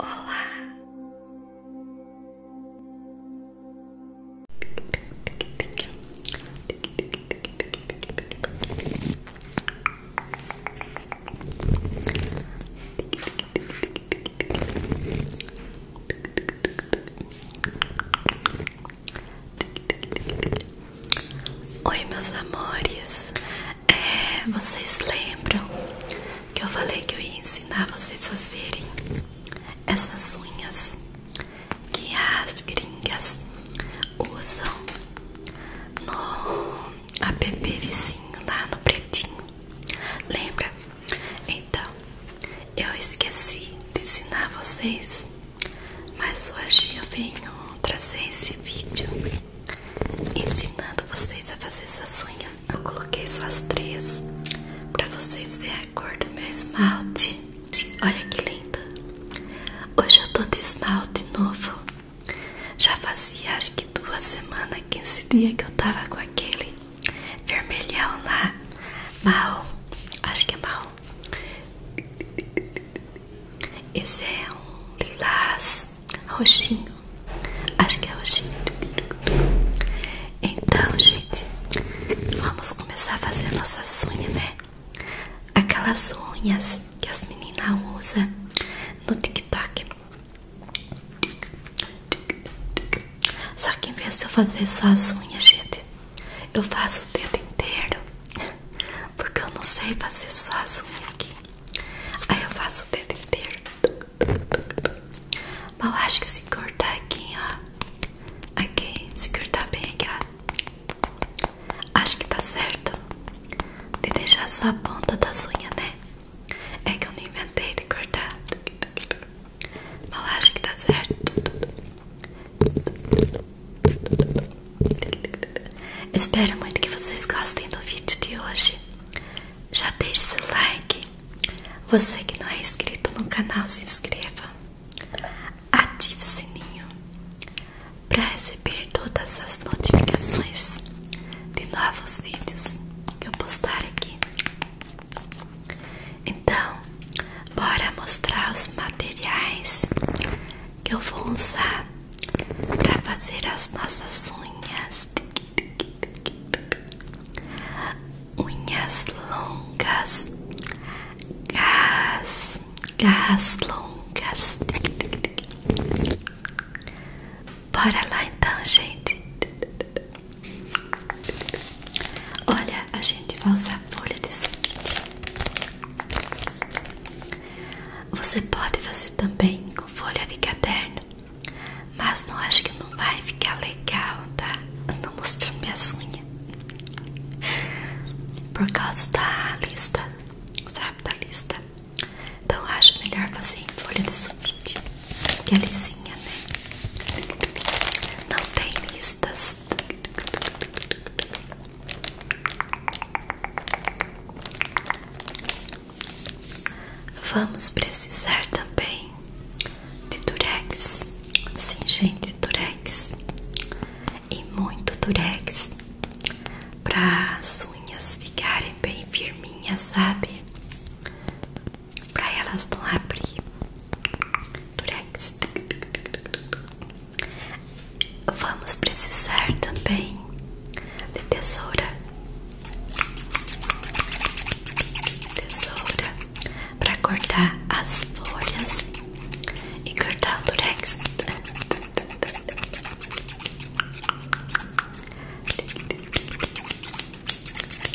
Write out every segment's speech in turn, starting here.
Olá! Oi, meus amores, é, vocês lembram que eu falei que eu ia ensinar vocês a fazerem essas unhas que as gringas usam no app vizinho lá no pretinho? Lembra? Então, eu esqueci de ensinar vocês, mas hoje eu venho trazer esse vídeo ensinando vocês a fazer essas unhas eu coloquei só as três para vocês verem a cor do meu esmalte. Olha que linda! Hoje eu tô de esmalte novo. Já fazia acho que duas semanas, 15 dias que eu tava com aquele vermelhão lá, mal. Acho que é mal. Esse é um lilás roxinho. Acho que é roxinho. Então, gente, vamos começar a fazer nossas unhas, né? Aquelas unhas que as meninas usam no TikTok. Só que em vez de eu fazer só as unhas, gente, eu faço o dedo inteiro. Porque eu não sei fazer só as unhas aqui. Aí eu faço o dedo inteiro. Bom, acho que se cortar aqui, ó. Aqui, se cortar bem aqui, ó. Acho que tá certo. De deixar só a ponta da unha, né? É que eu não inventei de cortar. Bom, acho que tá certo. Espero muito que vocês gostem do vídeo de hoje já deixe seu like. Você que não é inscrito no canal, se inscreva. Ative o sininho para receber todas as notificações de novos vídeos que eu postar aqui. Então, bora mostrar os materiais que eu vou usar para fazer as nossas unhas de unhas longas, garras, garras longas. Bora lá então, gente. Olha, a gente vai usar folha de sulfite. Você pode fazer também com folha de caderno. Mas não acho que não vai ficar legal, tá? Eu tô mostrando minhas unhas. Por causa da lista, sabe? Da lista. Então acho melhor fazer em folha de sulfite. Que é lisinha, né? Não tem listas. Vamos precisar também de durex, sim gente, durex e muito durex para as unhas ficarem bem firminhas, sabe? Para elas não abrir. Durex. Vamos precisar também de tesoura tesoura para cortar as folhas e cortar o durex.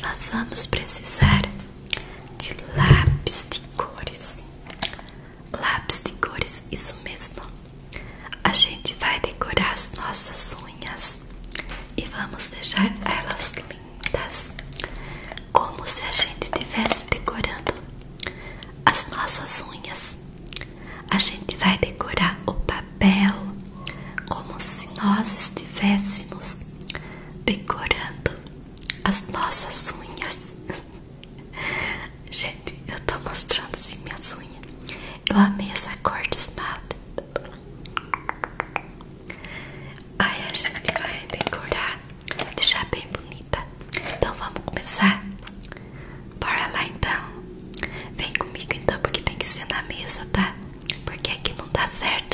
Nós vamos precisar de lápis de cores. Lápis de cores, isso mesmo. A gente vai decorar as nossas unhas e vamos deixar elas lindas, como se a gente estivesse decorando as nossas unhas. A gente vai decorar o papel como se nós estivéssemos decorando as nossas unhas. gente, eu tô mostrando assim minhas unhas. Eu amei essa cor de esmalte. Aí a gente vai decorar, deixar bem bonita. Então vamos começar? Bora lá então. Vem comigo então, porque tem que ser na mesa, tá? Porque aqui não dá certo.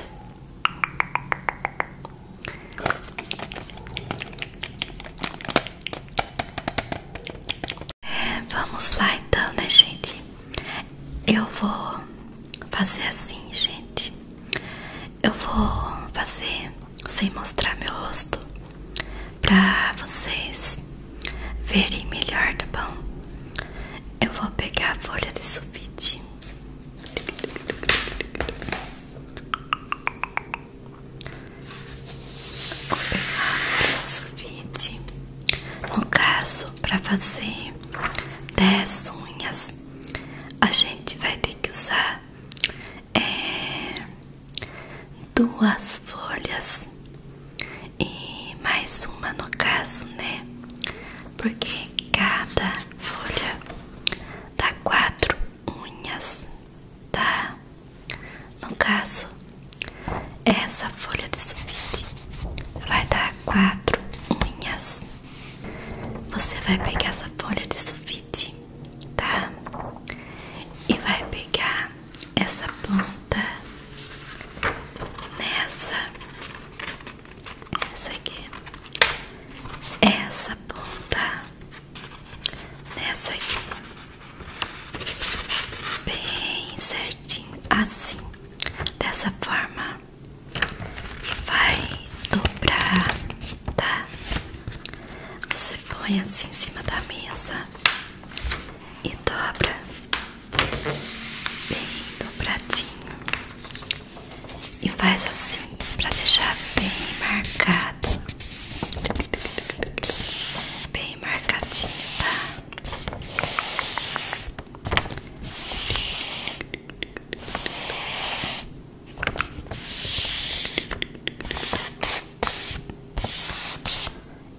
Vamos lá então, né, gente? Eu vou fazer assim, gente. Eu vou fazer sem mostrar meu rosto pra vocês verem melhor, tá bom? Eu vou pegar a folha de sulfite. Vou pegar a folha sulfite. No caso, para fazer 10 unhas, a gente vai ter que usar é, duas folhas e mais uma no caso, né? Porque cada folha dá quatro unhas, tá? No caso, essa folha de sulfite vai dar quatro unhas. Você vai pegar essa folha de sulfite, tá? E vai pegar essa ponta nessa, essa aqui, essa ponta nessa aqui, bem certinho, assim dessa forma e vai dobrar, tá? Você põe assim em cima da mesa e dobra bem dobradinho e faz assim para deixar bem marcado, bem marcadinho, tá?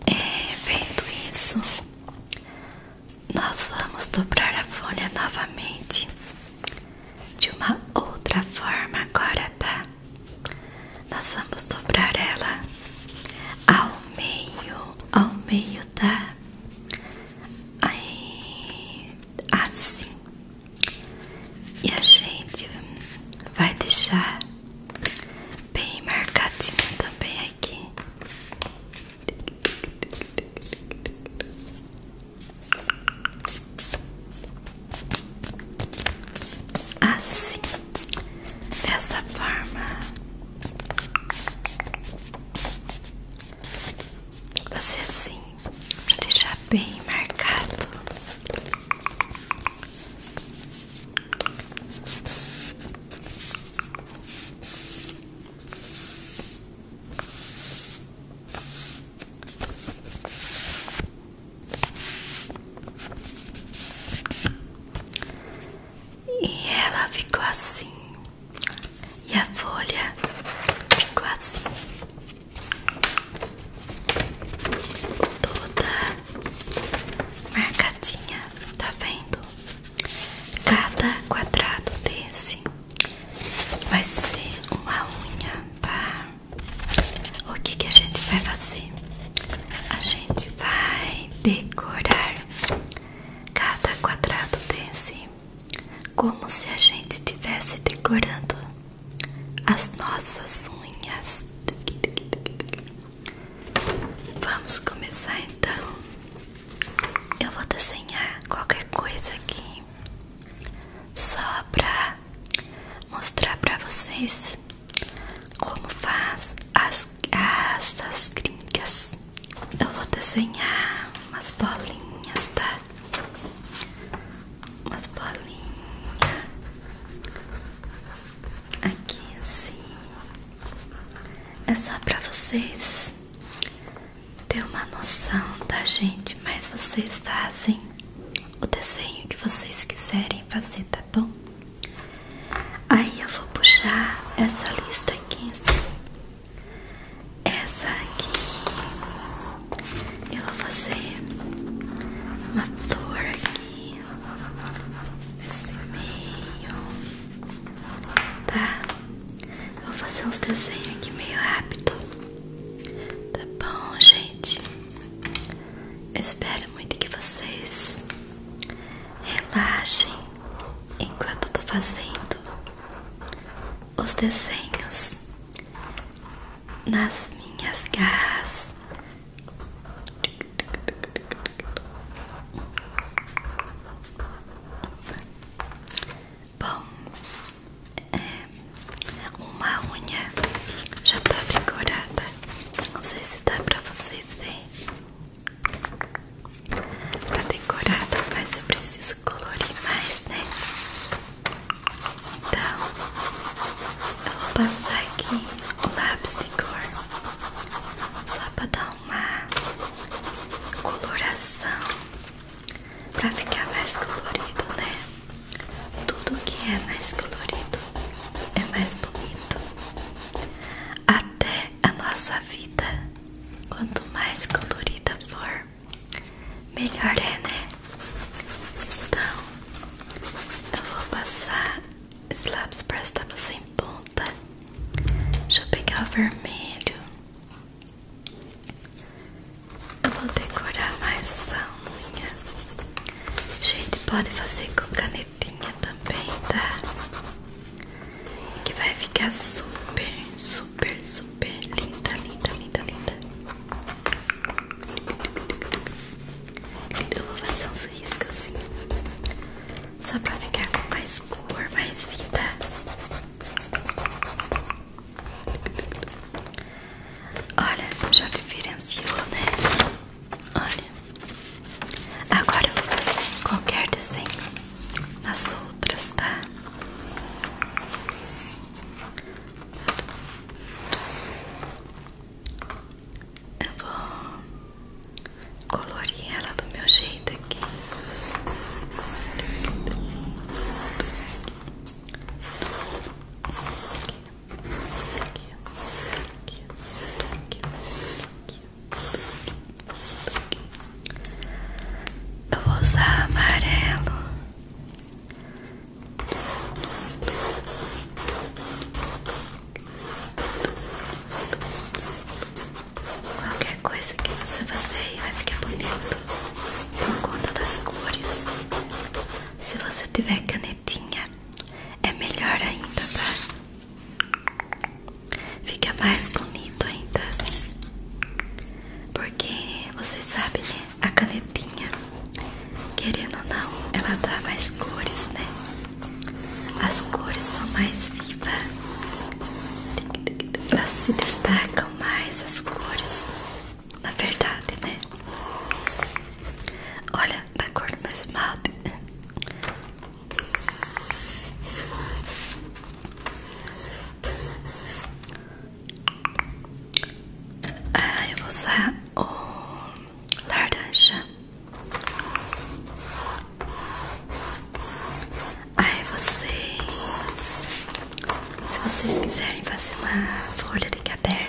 É, vendo isso, nós vamos dobrar a folha novamente de uma outra forma agora, tá? Nós vamos dobrar ela ao meio, ao meio, tá? Aí, assim. E a gente vai deixar bem marcadinho também aqui. Assim dessa forma. Você assim, para deixar bem marcado. E ela ficou assim. E a folha ficou assim. Toda marcadinha, tá vendo? Cada quadrado desse vai ser uma unha, tá? O que, que a gente vai fazer? A gente vai decorar Cada quadrado tem-se, como se a gente estivesse decorando as nossas unhas. Vamos começar então. Eu vou desenhar qualquer coisa aqui, só pra mostrar pra vocês como faz as raças gringas? Eu vou desenhar umas bolinhas, tá? Umas bolinhas aqui assim. É só pra vocês ter uma noção, tá, gente? Mas vocês fazem o desenho que vocês quiserem fazer, tá bom? Aí eu vou puxar essa lista aqui assim. Essa aqui eu vou fazer uma flor aqui nesse meio, tá? Vou fazer uns desenhos aqui meio rápido, tá bom, gente? Eu espero muito que vocês relaxem enquanto eu tô fazendo os desenhos nas minhas garras. Bom, é, uma unha já tá decorada. Não sei se dá pra vocês verem. Tá decorado, mas eu preciso colorir mais, né? Então, eu vou passar aqui o lápis de cor só pra dar uma coloração pra ficar mais colorido, né? Tudo que é mais colorido é mais bonito. Até a nossa vida, quanto mais colorida for, melhor é, né? Então, eu vou passar esse lápis para estar em ponta. Deixa eu pegar o vermelho. Eu vou decorar mais essa unha. Gente, pode fazer com caneta paletinha também, tá? Que vai ficar super, super, super linda, linda, linda, linda. Eu vou fazer uns riscos assim, só pra ficar com mais cor, mais vida. Olha, já diferenciou, né? Olha, agora eu vou fazer qualquer desenho nas outras, tá? Eu vou colorir ela do meu jeito aqui, eu vou usar amarelo. Qualquer coisa que você fazer vai ficar bonito por conta das cores. Se você tiver canetinha, é melhor ainda, tá? Fica mais bonito ainda. Porque vocês sabem né? A canetinha, querendo ou não, ela dá mais cores, né? As cores são mais vivas. Elas se destacam mais as cores. Na verdade, né? Olha, da cor do meu esmalte. Ah, eu vou usar o laranja. Aí vocês, se vocês quiserem fazer uma folha de caderno,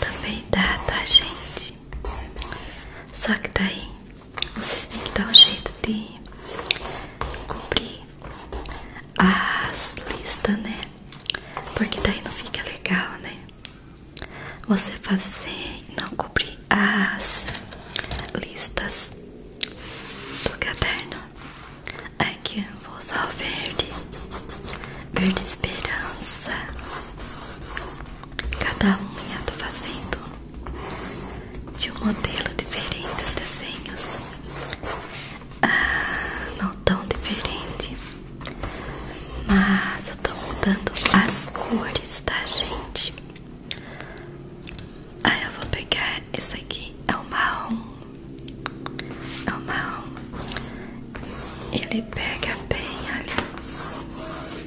também dá, tá, gente? Só que daí vocês têm que dar um jeito de cobrir as listas, né? Porque daí não fica legal, né? Você fazer e não cobrir as listas do caderno. Aqui eu vou usar o verde, verde esperança. Cada unha tô fazendo de um modelo diferente os desenhos. Ah, não tão diferente. Mas eu tô mudando as cores, tá, gente? Aí eu vou pegar esse aqui, é o marrom. É o marrom. Ele pega bem ali pega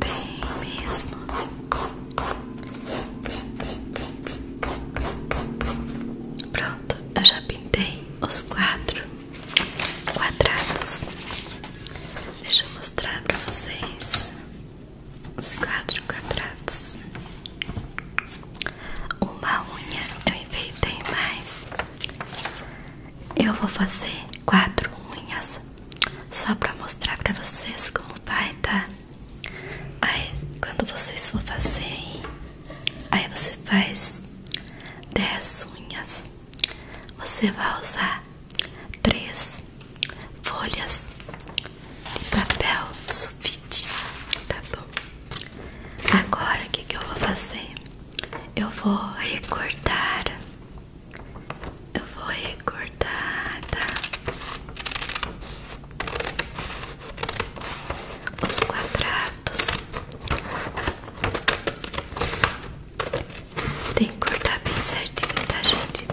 bem mesmo. Pronto, eu já pintei os quatro quadrados. Deixa eu mostrar pra vocês os quatro quadrados. Uma unha eu enfeitei mais. Eu vou fazer quatro unhas só pra mostrar pra vocês como vai, tá? Aí quando vocês for fazer, aí você faz dez unhas. Você vai usar três folhas de papel sulfite, tá bom? Agora o que, eu vou fazer? Eu vou recortar, eu vou recortar, tá? Os quadrados tem que cortar bem certinho, tá, gente?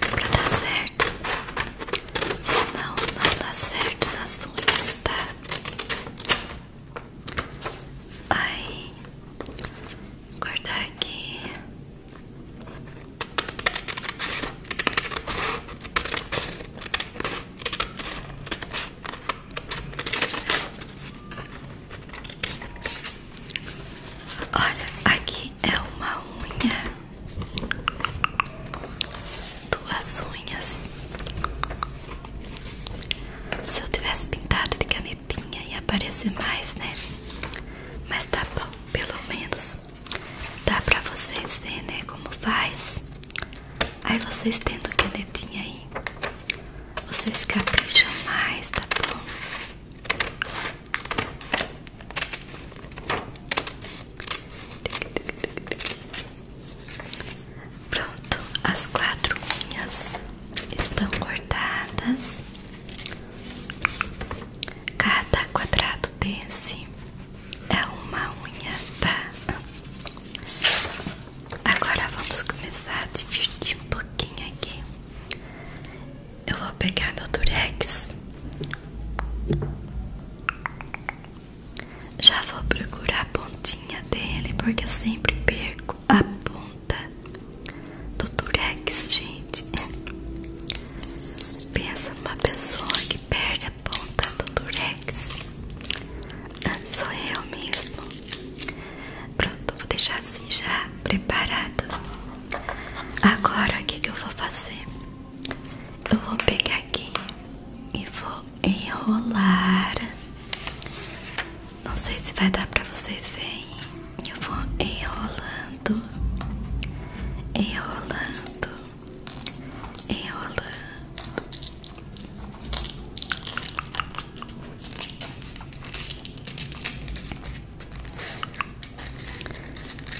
Pra dar certo. Senão, não dá certo nas unhas, tá? Aí, cortar aqui. Olha, aqui é uma unha, duas unhas. Se eu tivesse pintado de canetinha ia aparecer mais, né? Mas tá bom, pelo menos dá pra vocês verem, né? Como faz. Aí vocês tendo canetinha aí, vocês capricham mais, tá bom? Pronto, as quatro unhas estão cortadas. Cada quadrado desse é uma unha, tá? Agora vamos começar a divertir um pouquinho aqui. Eu vou pegar meu Durex. Já vou procurar a pontinha dele, porque eu sempre perco a ponta do Durex, gente. Pensa numa pessoa que perde a ponta do Durex. Ah, sou eu mesmo. Pronto, vou deixar assim já preparado. Agora o que, eu vou fazer? Eu vou pegar aqui e vou enrolar. Não sei se vai dar pra vocês verem. Eu vou enrolando, enrolando, enrolando.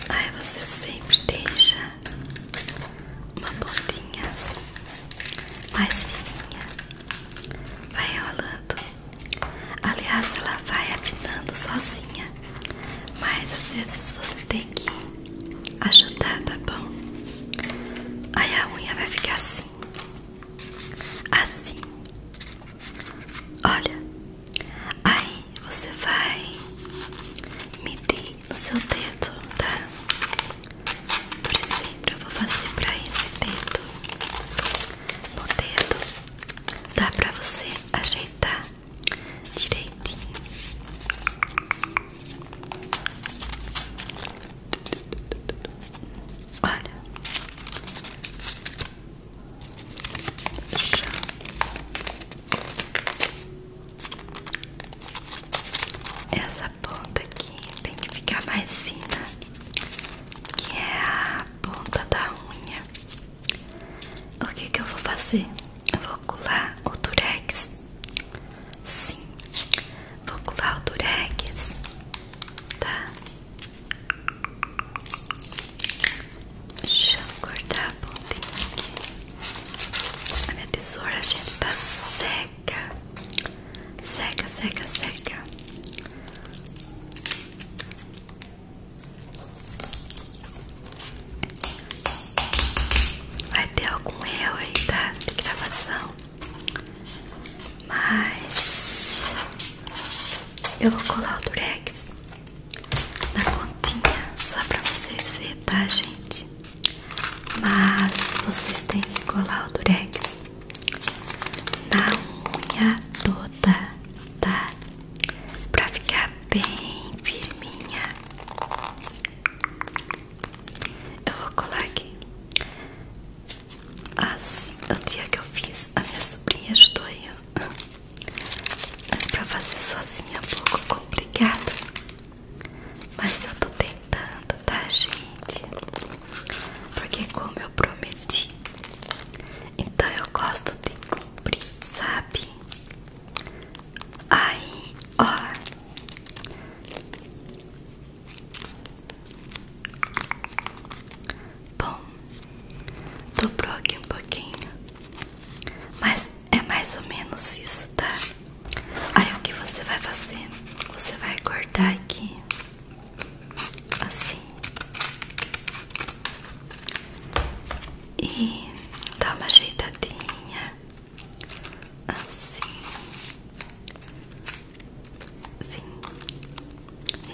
Aí você sempre deixa uma pontinha assim, mais fininha, vai enrolando. Aliás, ela vai afinando sozinha, mas às vezes você tem que ajudar, tá bom? Aí a unha vai ficar assim, assim. Olha, aí você vai medir o seu dedo, tá? Por exemplo, eu vou fazer pra esse dedo. No dedo dá pra você ajeitar direitinho. Olha. Essa ponta aqui tem que ficar mais fina, que é a ponta da unha. O que que eu vou fazer? Eu vou colar o durex. Sim, vou colar o durex, tá? Deixa eu cortar a pontinha aqui. A minha tesoura, gente, tá seca. Seca, seca, seca. Vai ter algum erro aí, tá? De gravação. Mas eu vou colar o durex na pontinha, só pra vocês verem, tá, gente? Mas vocês têm que colar o durex na unha toda, tá? Pra ficar bem firminha. Eu vou colar aqui. Assim, o dia que eu fiz, a minha sobrinha ajudou eu mas pra fazer sozinha é um pouco complicado. Mas eu tô tentando, tá, gente? Porque como eu prometi, então eu gosto de cumprir, sabe? Aí, ó. Bom, dobrou aqui um pouquinho. Mas é mais ou menos isso, tá? Aí o que você vai fazer? Você vai cortar aqui. Assim. E dar uma ajeitadinha. Assim. Sim.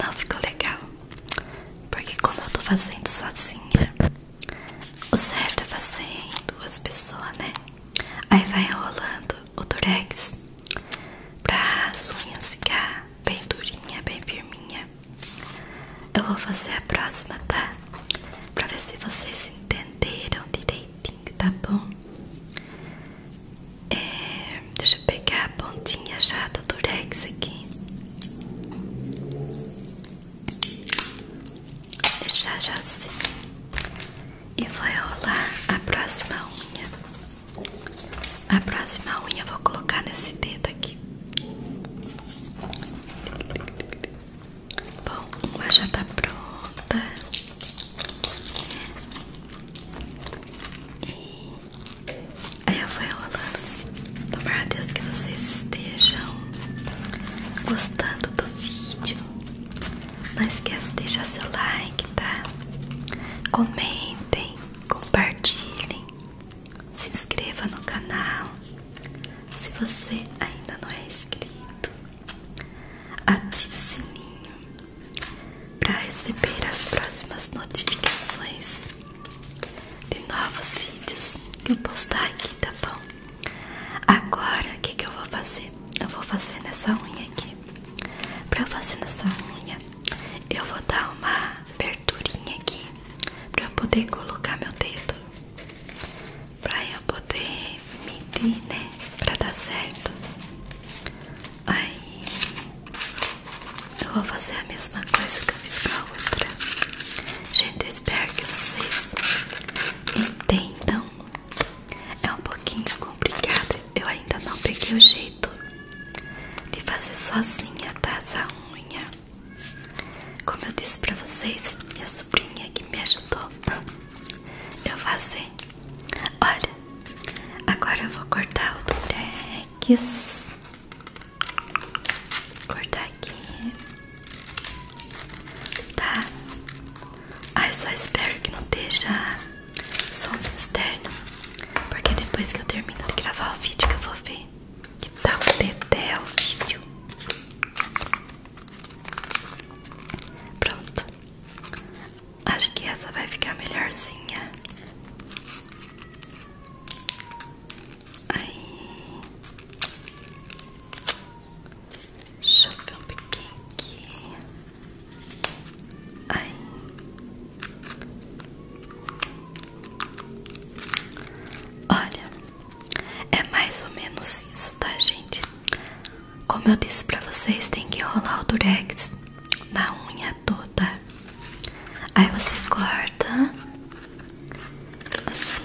Não ficou legal, porque como eu tô fazendo sozinha, o certo é tá fazer em duas pessoas, né? Aí vai enrolando o durex pra as unhas ficar bem durinha, bem firminha. Eu vou fazer a próxima, tá? Pra ver se vocês entenderam direitinho, tá bom? É... Deixa eu pegar a pontinha já do durex aqui. Deixar já assim. E vou rolar a próxima unha. A próxima unha eu vou colocar nesse dedo aqui. Bom, uma já tá pronta. E Aí eu vou enrolando assim. Tomara então, a Deus que vocês estejam gostando do vídeo. Não esqueça de deixar seu like, tá? Comentem, compartilhem, se inscreva no canal. Se você ainda não é inscrito, ative o sininho para receber as próximas notificações de novos vídeos que eu postar aqui, tá bom? Agora, o que, que eu vou fazer? Eu vou fazer nessa unha aqui. Pra fazer nessa unha, eu vou dar uma aberturinha aqui para eu poder colocar meu dedo. para eu poder medir, né? para dar certo. Aí eu vou fazer a mesma coisa que eu fiz com a outra. Gente, eu espero que vocês entendam. É um pouquinho complicado. Eu ainda não peguei o jeito de fazer sozinha, tá? Essa unha. Como eu disse pra vocês, minha sobrinha que me ajudou eu fazer. Olha, agora eu vou cortar o durex. Cortar aqui. Tá. Ai, só espero que não deixe sons externos. Porque depois que eu termino de gravar o vídeo que eu vou ver. Que tal tá até o vídeo? Pronto. Acho que essa vai ficar melhorzinha. Aí. Deixa eu ver um pouquinho aqui. Aí. Olha, é mais ou menos isso, tá, gente? Como eu disse pra vocês, tem que rolar o durex na unha toda. Aí você corta assim.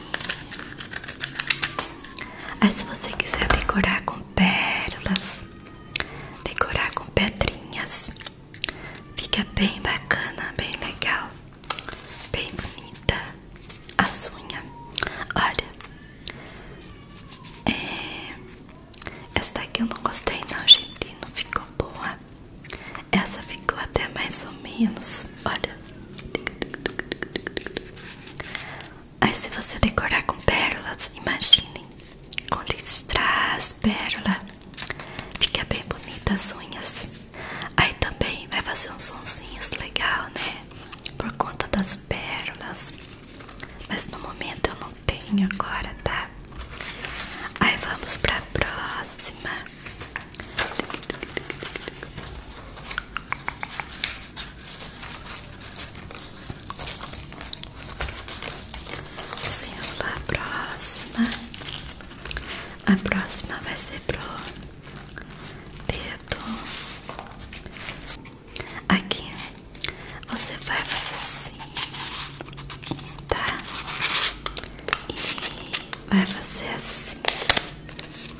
Aí se você quiser decorar com pérolas, decorar com pedrinhas, fica bem bacana, bem legal, bem bonita a unha. Olha, é... essa daqui eu não gostei não, gente, não ficou boa. Essa ficou até mais ou menos. Olha. Aí se você decorar com pérolas, imaginem. Com listras, pérola. Fica bem bonita as unhas. Aí também vai fazer uns sonzinhos legal, né? Por conta das pérolas. Mas no momento eu não tenho agora, tá? Aí vamos pra próxima. Vamos lá, próxima. A próxima vai ser pro dedo. Aqui você vai fazer Assim, tá? E vai fazer assim,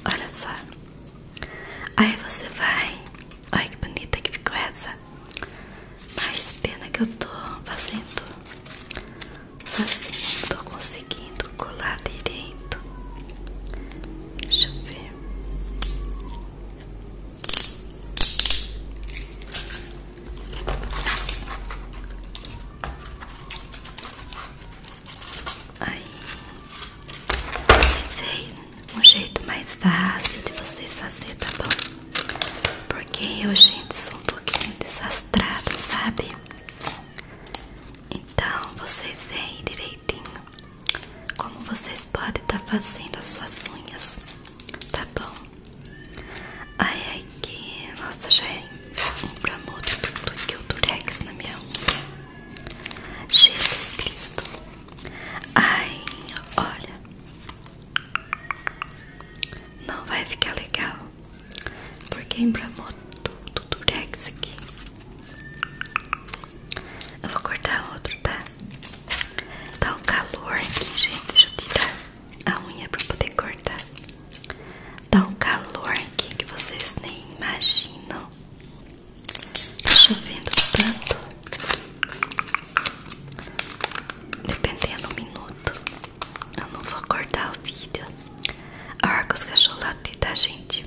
olha só. Aí você vai, olha que bonita que ficou essa. Mas pena que eu tô fazendo só assim, não tô conseguindo colar direito. Deixa eu ver. Aí vocês veem um jeito mais fácil de vocês fazer, tá bom? Porque eu, gente, sou um pouquinho desastrada, sabe? Então vocês veem direitinho como vocês podem estar tá fazendo as suas unhas, tá bom? Ai, aqui que... Nossa, já é um tudo que o durex na minha unha. Jesus Cristo. Ai, olha. Não vai ficar legal. Porque embramou tudo do durex aqui. Eu vou cortar outro, tá? Tá um calor aqui, gente. Deixa eu tirar a unha pra poder cortar. Tá um calor aqui que vocês nem imaginam. Tá chovendo tanto. Dependendo do minuto, eu não vou cortar o vídeo. A hora que os cachorros latem, tá, gente?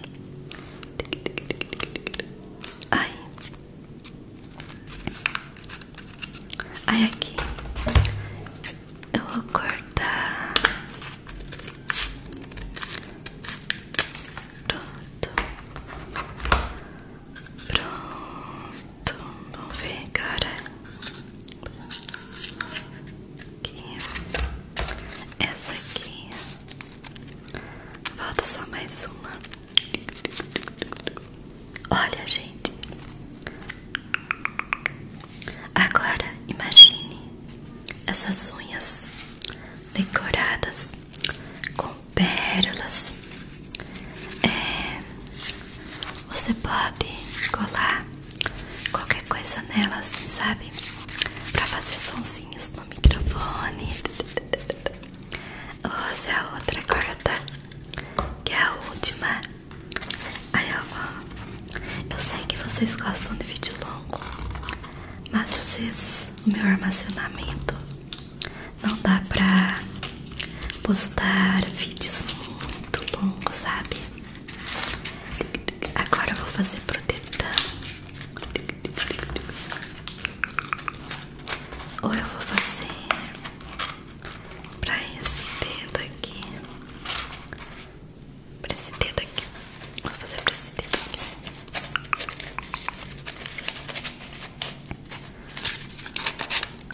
Ai. Aí aqui eu vou cortar pronto, pronto, vamos ver agora aqui, essa aqui, falta só mais uma. Olha, gente. Agora imagine essas unhas decoradas com pérolas. É, você pode colar qualquer coisa nelas, assim, sabe? Pra fazer sonzinhos no microfone. Ou essa é a outra tá? que é a última Aí ela, eu sei que vocês gostam de vídeo longo, mas às vezes o meu armazenamento não dá pra postar vídeos muito longos, sabe? Agora eu vou fazer pro Ou eu vou fazer pra esse dedo aqui. Pra esse dedo aqui. Vou fazer pra esse dedo aqui.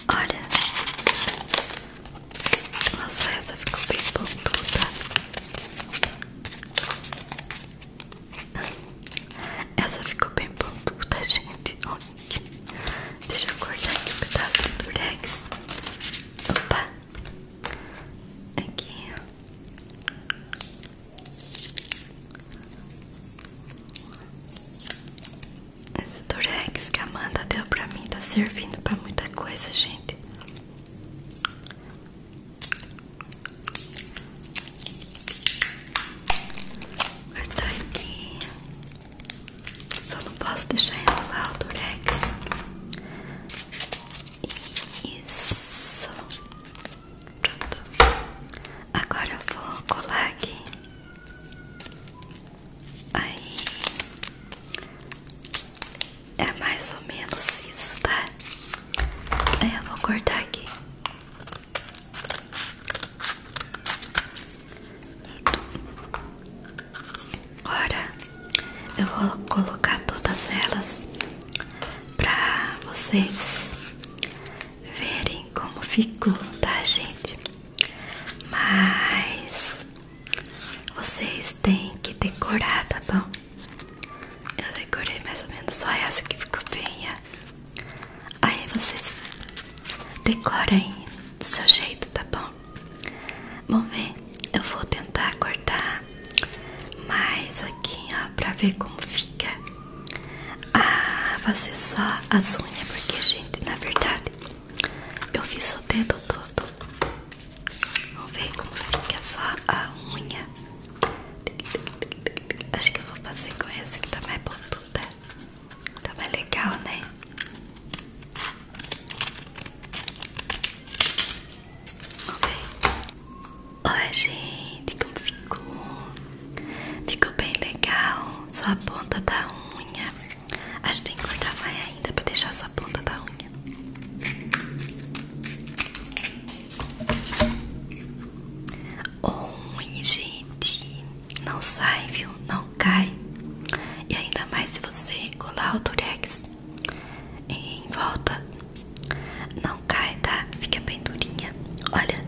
Olha. Nossa, essa ficou bem pontuda. Essa ficou bem pontuda, gente. Olha. Deixa eu cortar aqui um pedaço do durex. Opa! Aqui, esse durex que a Amanda deu pra mim tá servindo pra muita coisa, gente. Cortar aqui. Só não posso deixar renovar o Rex Isso. Pronto. Agora eu vou colar aqui. Aí. É mais ou menos isso, tá? Aí eu vou cortar aqui ora eu vou colocar todas elas pra vocês verem como ficou, tá, gente? Mas vocês têm que decorar, tá bom? Eu decorei mais ou menos só essa que ficou feia. Aí vocês decorem do seu jeito, tá bom? Vamos ver, eu vou tentar cortar mais aqui, ó, pra ver como fica. Ah, fazer só as unhas, porque, gente, na verdade, eu fiz o dedo todo. Vamos ver como fica só a unha. Acho que eu vou fazer com esse que tá mais pontuda. Né? Tá mais legal, né? Ok. Oi, gente, como ficou? Ficou bem legal. Só a ponta da unha. Acho que tem que cortar mais ainda pra deixar só a ponta da unha. Oi, gente. Não sai, viu? não cai e ainda mais se você colar o durex em volta não cai, tá? Fica bem durinha. Olha.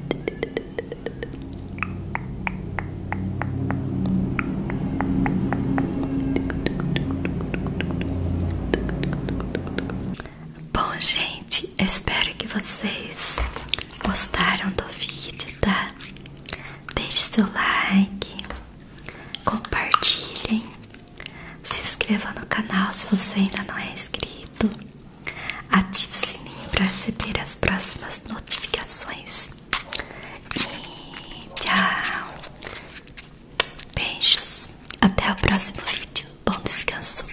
Bom, gente, espero que vocês gostaram do vídeo, tá? Deixe seu like, compartilhem, se inscreva no canal se você ainda não é inscrito, ative o sininho para receber as próximas notificações. E tchau! Beijos, até o próximo vídeo. Bom descanso!